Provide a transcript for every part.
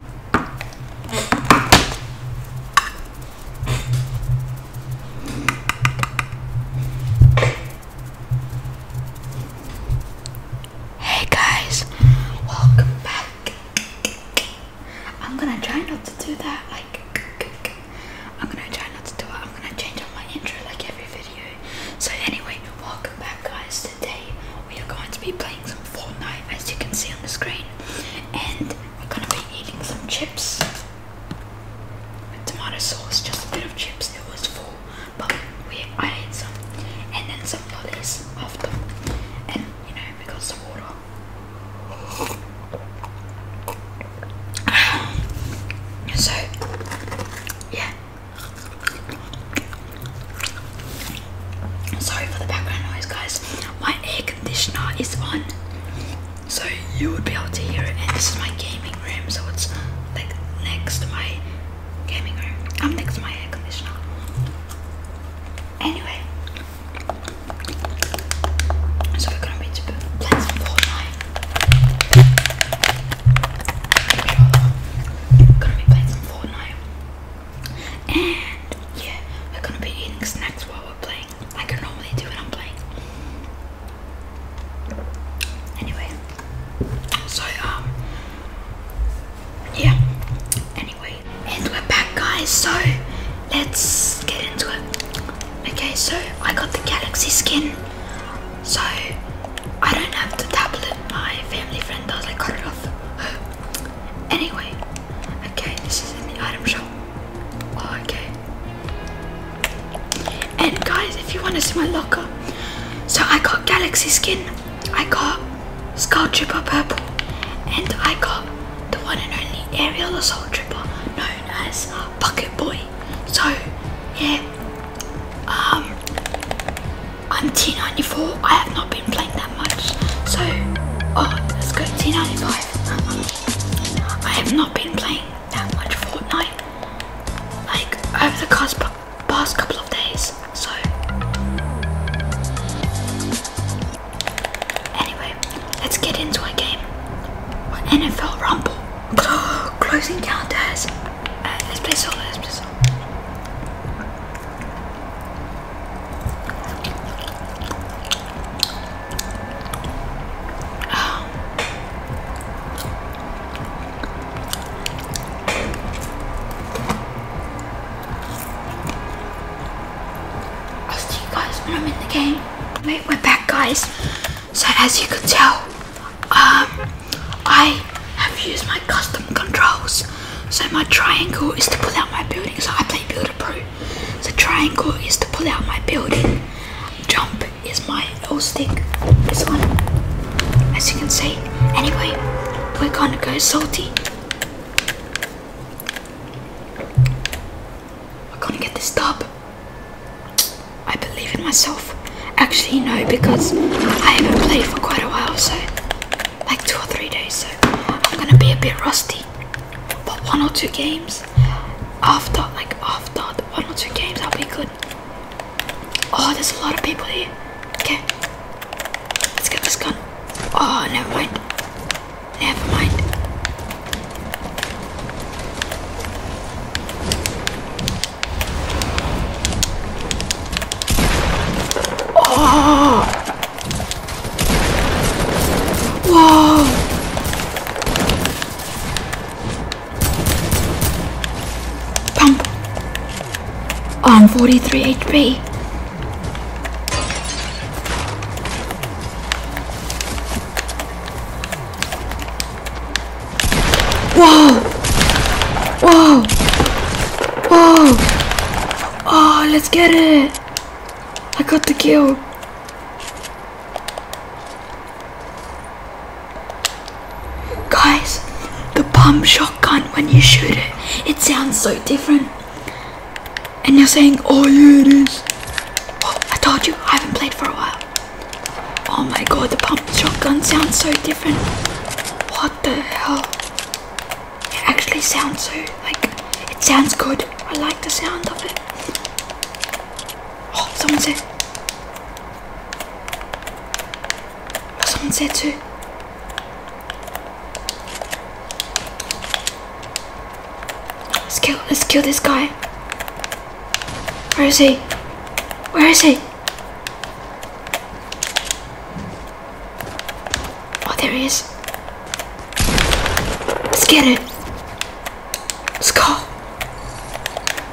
Hey guys, welcome back. I'm gonna try not to do that. Like, I'm gonna try not to do it. I'm gonna change up my intro like every video. So, anyway, welcome back, guys today we are going to be playing some Fortnite as you can see on the screen and we're going to be eating some chips with tomato sauce, just a bit of chips, it was full but we, I ate some and then some lollies after and you know we got some water. So, yeah, Sorry for the background noise, guys. My air conditioner is on, so you would be able to hear it. And this is my gaming room, so it's like next to my gaming room. I'm next to my air conditioner. Anyway, so we're gonna be playing some Fortnite. gonna be playing some Fortnite. And yeah, we're gonna be eating snacks while we're playing, like I normally do when I'm playing. Anyway, so um, yeah. Anyway, and we're back, guys. So let's get into it. Okay, so I got the galaxy skin. So I don't have the tablet. My family friend does. I cut it off Anyway, okay, this is in the item shop. Oh, okay. And guys, if you want to see my locker, so I got Galaxy Skin, I got Skull Trooper Purple, and I got the one and only Aerial Assault Tripper, known as Bucket Boy. So, yeah, um, I'm 1094. I have not been playing that much. So, oh, let's go 1095. I have not been playing that much Fortnite. Like, over the past couple of days. So, anyway, let's get into a game. NFL Rumble. Closing counters. Uh, let's play solo, let's play solo. I'll see you guys when I'm in the game. Wait, we're back guys. So as you can tell, um I have used my custom controls. So my triangle is to pull out my building. So I play Builder Pro. The triangle is to pull out my building. Jump is my L stick. This one, as you can see. Anyway, we're gonna go salty. We're gonna get this dub. I believe in myself. Actually, no, because I haven't played for quite a while, so like two or three days, so I'm gonna be a bit rusty. But one or two games after, like after one or two games, I'll be good. Oh, there's a lot of people here. Okay, let's get this gun. Oh, never mind. Never mind. Oh! Whoa! Pump! I'm 43 HP. Whoa! Whoa! Oh! Oh, let's get it! I got the kill. Guys, the pump shotgun, when you shoot it, it sounds so different. And you're saying, oh yeah it is. Oh, I told you, I haven't played for a while. Oh my god, the pump shotgun sounds so different. What what the hell? It actually sounds so, like, it sounds good. I like the sound of it. Oh, someone said. Oh, someone said too. Let's kill, let's kill this guy. Where is he? Where is he? Oh, there he is. Let's get it. Let's go.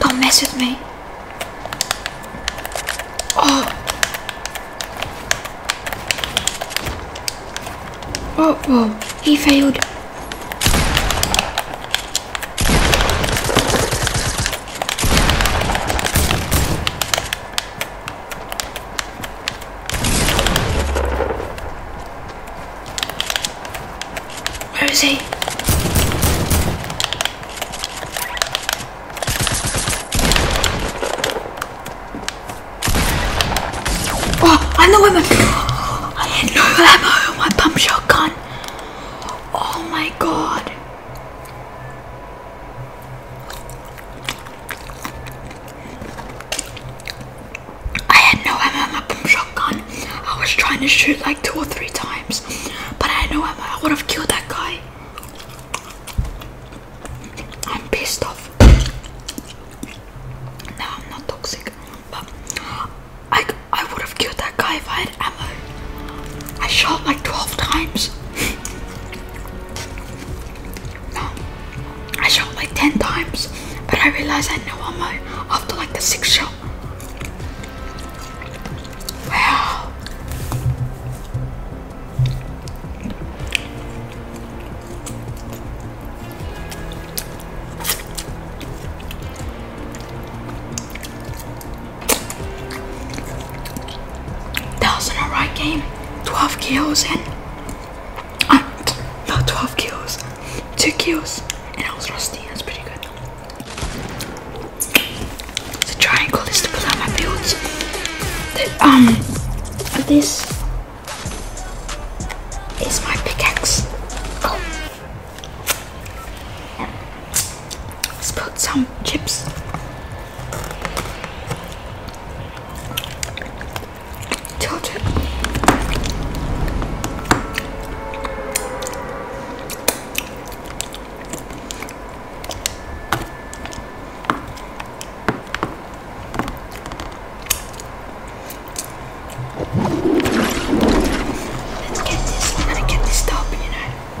Don't mess with me. Oh. Oh, whoa. Oh, he failed. Where is he? Oh, I know him! I had no ammo on my pump shotgun. Oh my god. I had no MMA boom shotgun. I was trying to shoot like two or three times, but I had no ammo. I would have killed that guy. I'm pissed off. No, I'm not toxic, but I, I would have killed that guy if I had ammo. I shot like 12 times. no, I shot like 10 times, but I realized I know I'm after like the sixth shot. Wow. That was an alright game. 12 kills and uh, not 12 kills, 2 kills, and I was rusty. That's pretty good. The triangle is to put out my builds. um, this is my pickaxe. Oh, Let's put some chips. Tilted. Let's get this. I'm get this top, you know let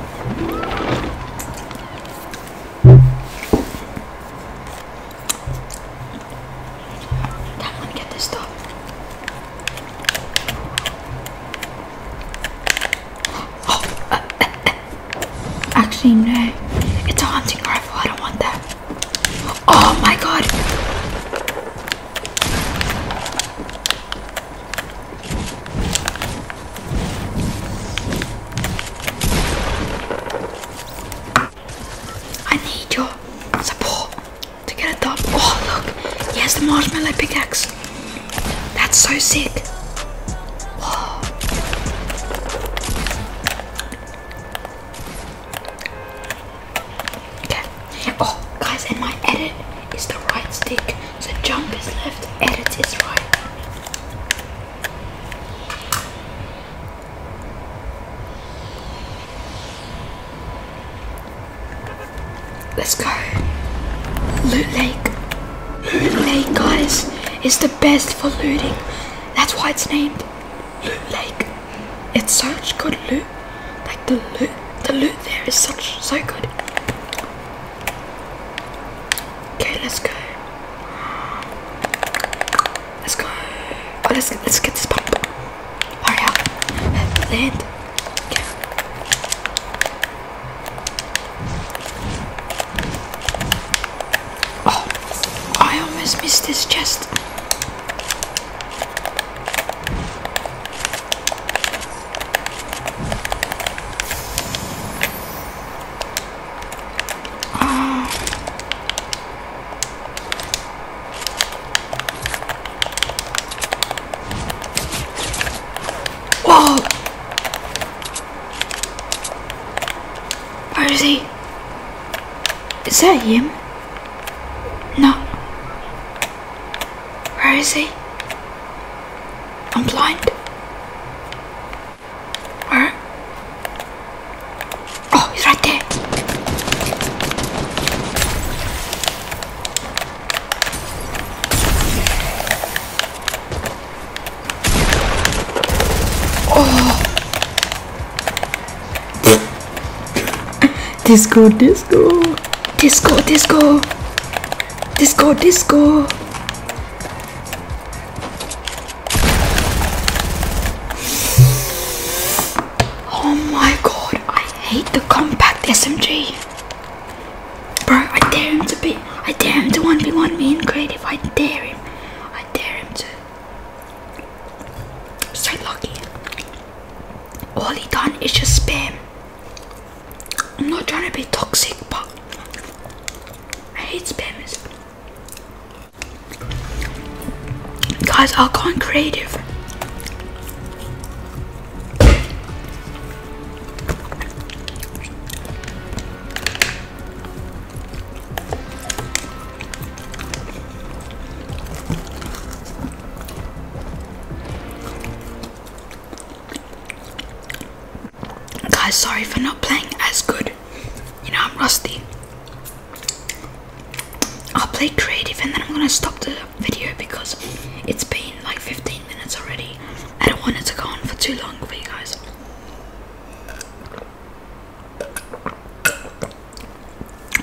me get this stuff. Oh, actually, no. It's a hunting rifle. I don't want that. Oh my god. I need your support to get a up. Oh look, he has the marshmallow pickaxe. That's so sick. Oh, guys, and my edit is the right stick. So jump is left, edit is right. Let's go. Loot Lake. Loot Lake, guys, It's the best for looting. That's why it's named Loot Lake. It's such good loot. Like the loot, the loot there is such so good. Okay, let's go. Let's go. Oh, let's let's get this pump. land. Oh, I almost missed this chest. Where is he? Is that him? No. Where is he? I'm blind. Where? Oh, he's right there. Oh. Disco, disco, disco, disco, disco, Oh my god, I hate the compact SMG. Bro, I dare him to be, I dare him to 1v1 me in creative, I dare him. I dare him to. So lucky. All he done is just spam. I'm not trying to be toxic, but I hate spammers. Guys, are going creative. Guys, sorry for not playing as good. You know, I'm rusty. I'll play creative and then I'm gonna stop the video because it's been like 15 minutes already. I don't want it to go on for too long for you guys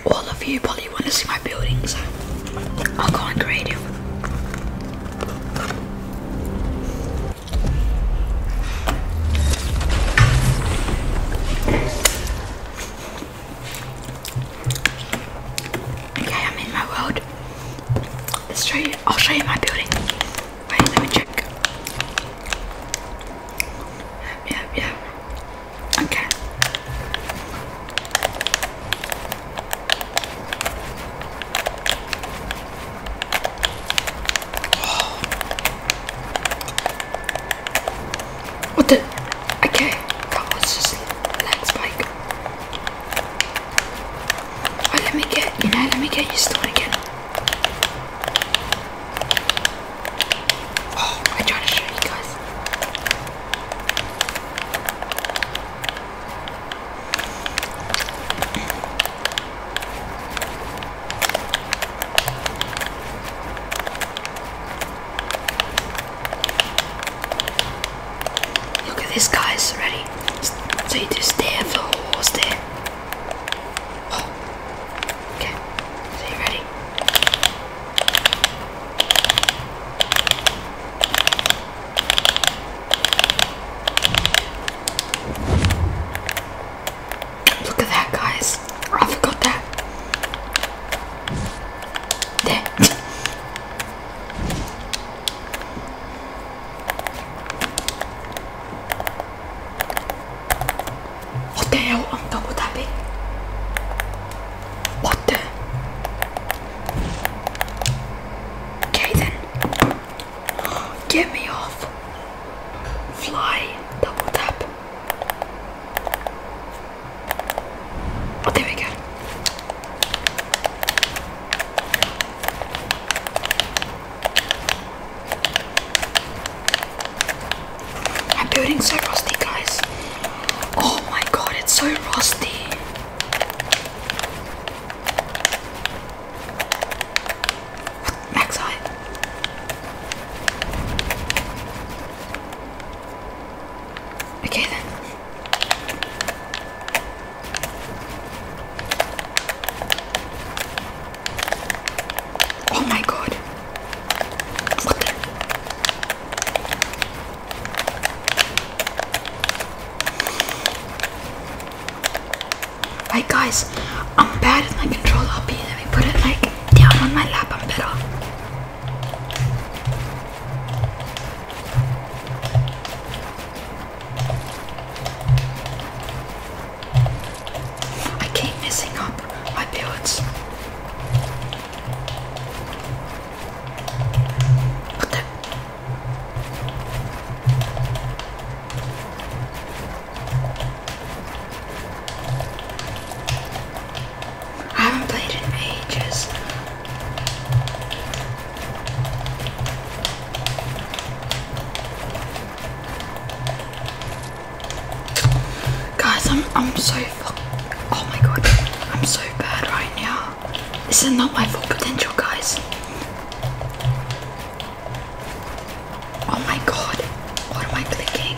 all of you probably want to see my buildings. I'll go on creative. Okay, I'm in my world. Let's show you. I'll show you my building. Wait, let me check. Yep, yep, yep. Okay. What the? Okay, that was just leg spike. Oh, let me get, you know, let me get used to it again. Oh, I tried to show you guys. Look at this guys ready. So you just stare for the whole stare. Oh. Okay. So you ready? Look at that, guys. I forgot that. There. what the hell on top would that be? What the? Okay then. Get me off. Fly. Double tap. Oh, there we go. My building's so rusty, guys. Oh my god, it's so rusty. Max height. Okay Oh my god. What Right guys, I'm bad at my control be Let me put it like down on my lap, I'm better. I keep messing up my builds. I haven't played in ages. Guys, I'm I'm so Oh my god, I'm so bad right now. This is not my full potential, guys. Oh my god, what am I clicking?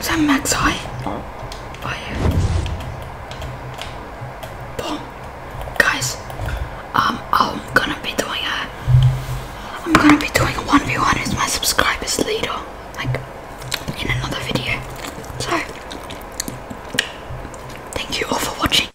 Sao mặt sỏi Đó Boom Guys Um I'm gonna be doing a I'm gonna be doing a 1v1 with my subscribers later Like in another video So Thank you all for watching